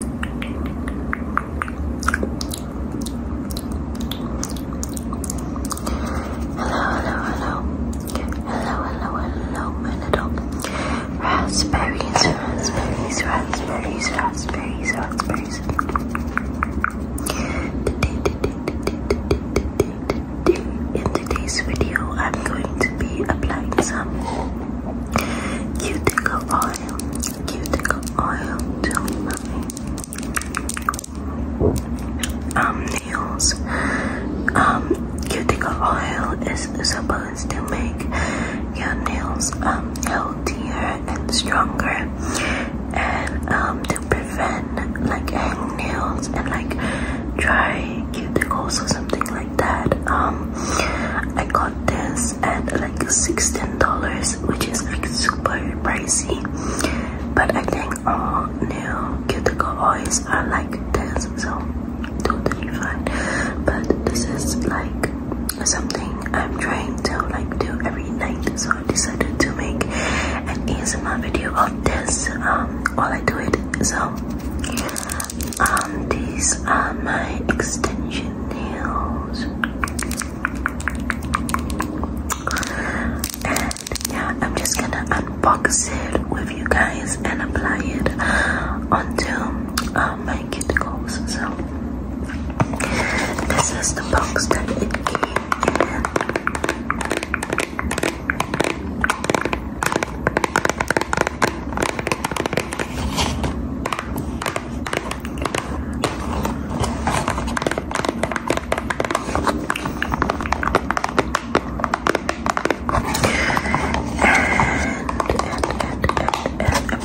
hello, hello, hello, my little raspberries, raspberries, raspberries, raspberries, raspberries. In today's video, I'm going to be applying some cuticle oil oil, cuticle oil, jelly mummy. Um, nails. Um, cuticle oil is supposed to make your nails um healthier and stronger, and um to prevent like hang nails and like dry cuticles or something like that. Um, I got this at like $16, which is like super pricey. But I think all uh, new cuticle oils are like this, so totally fine. But this is like something I'm trying to like do every night, so I decided to make an ASMR video of this um, while I do it. So um, these are my extension nails. And yeah, I'm just gonna unbox it with you guys and apply it onto uh, my cuticles. So, this is the box that it came in. I'm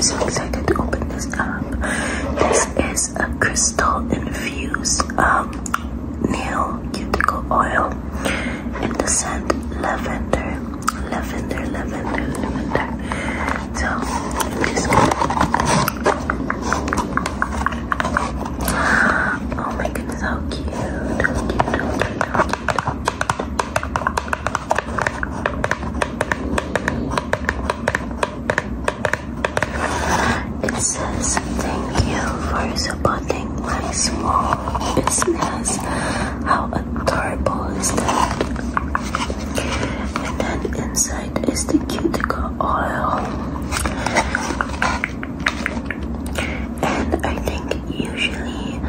so excited to open this up. This is a crystal infused um, nail cuticle oil in the scent lavender, lavender, lavender, lavender. So Oh my goodness, how cute! cute! It says thank you for support responding less small business. How adorable is that? And then inside is the cuticle oil. And I think usually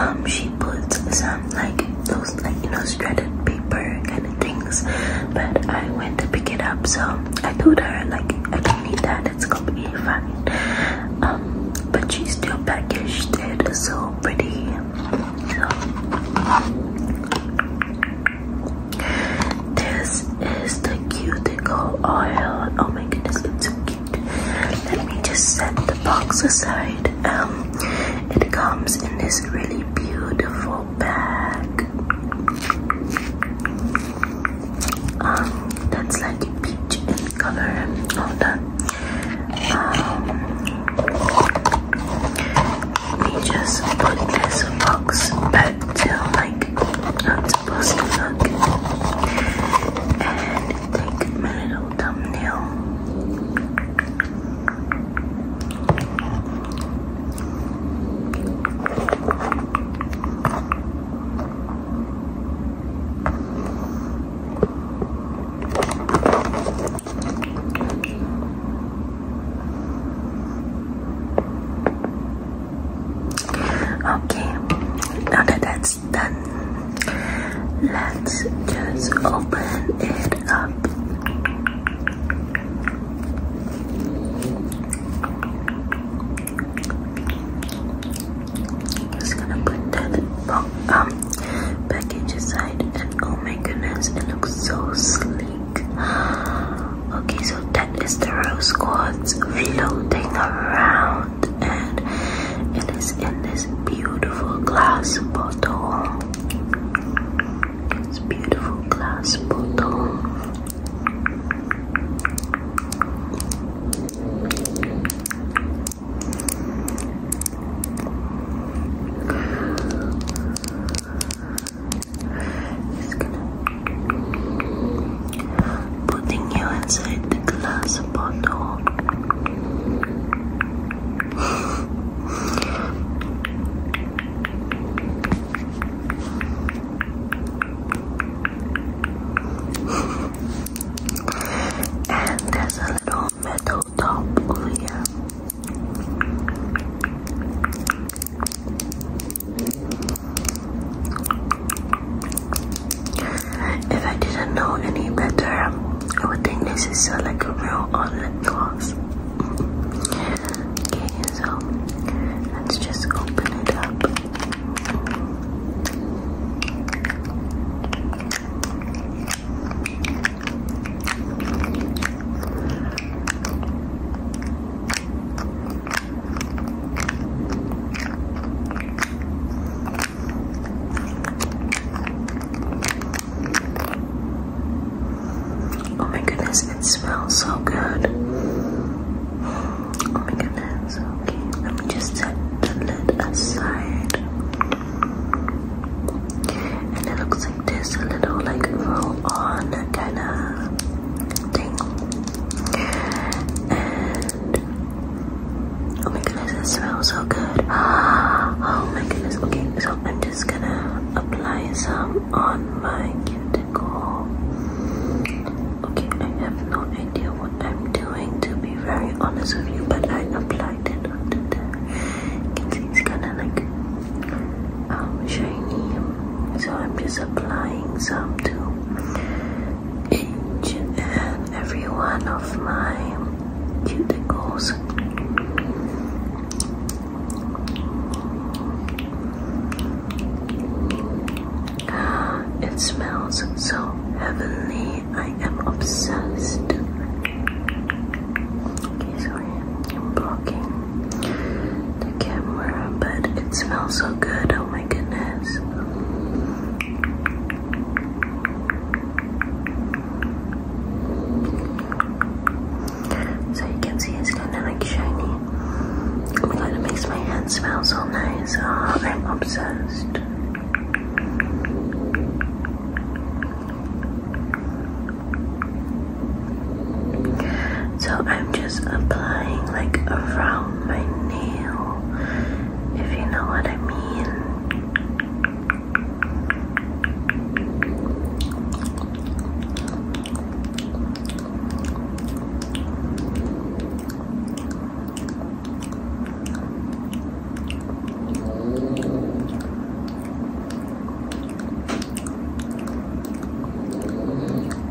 um, she puts some like those like you know shredded paper kind of things. But I went to pick it up so I told her like really that it's be fine um, but she's still packaged it is so pretty this is the cuticle oil oh my goodness it's so cute let me just set the box aside um, it comes in this really beautiful bag um, that's like a peach in color and all that um, we just put this box back to like not supposed to look and take my little thumbnail Okay, now that that's done, let's just open it up. Just gonna put that um package aside and oh my goodness it looks so sleek. Okay so that is the rose quartz floating around and it is in this beautiful glass bottle. It's beautiful glass bottle. Just putting you inside the glass bottle. And there's a little metal top over here. If I didn't know any better, I would think this is uh, like a real on lip gloss. Okay, so let's just open it up. Oh my goodness, it smells so good. Oh my goodness, Let me just set the lid aside. And it looks like this a little like roll on kind of thing. And oh my goodness, it smells so good. Oh my goodness, okay, so i I'm just gonna apply some on my cuticle. Okay, I have no idea what I'm doing to be very honest with you, but I applied it onto there. can see it's kind of like um, shiny, so I'm just applying some to each and every one of my cuticles. It smells so heavenly. I am obsessed. Okay, sorry, I'm blocking the camera, but it smells so good. Oh my goodness. So you can see it's kind of like shiny. It kind of makes my hand smell so nice. Ah, I'm obsessed. So I'm just applying like around my nail, if you know what I mean.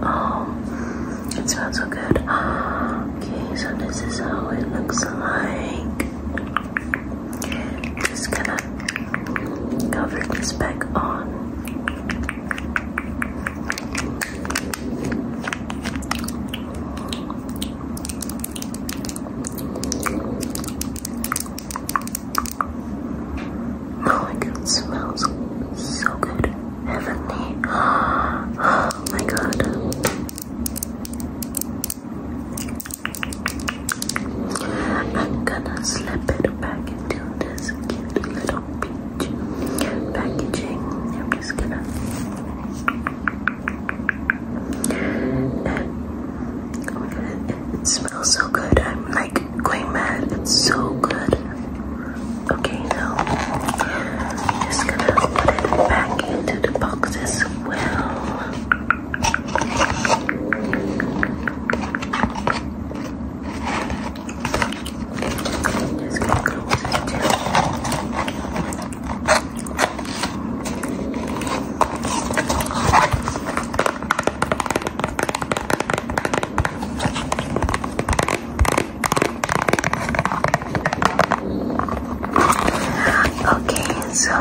Oh, it smells so good. Okay, so this is how it looks like. Just gonna cover this back on. Oh my god, smells so good. Heavenly. Oh my god. I'm gonna slip it back into this cute little peach packaging. I'm just gonna it, smells so good. I'm like going mad. It's so good. Okay, now I'm just gonna put it back into the boxes will. Okay, so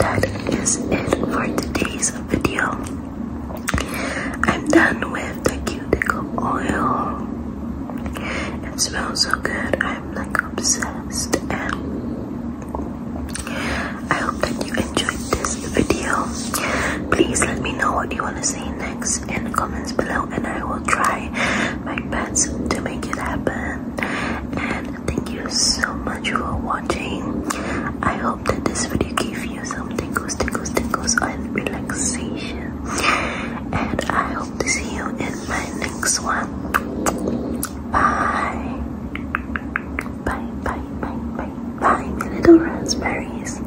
that is it for today's video. I'm done with the cuticle oil. It smells so good. I'm like obsessed and I hope that you enjoyed this video. Please let me know what you want to say next ideas in the comments below and I will try my best to make it happen. And thank you so much for watching. I hope that this video gave you some tingles, tingles, tingles and relaxation. And I hope to see you in my next one. Bye. Bye, bye, bye, bye, bye, little raspberries.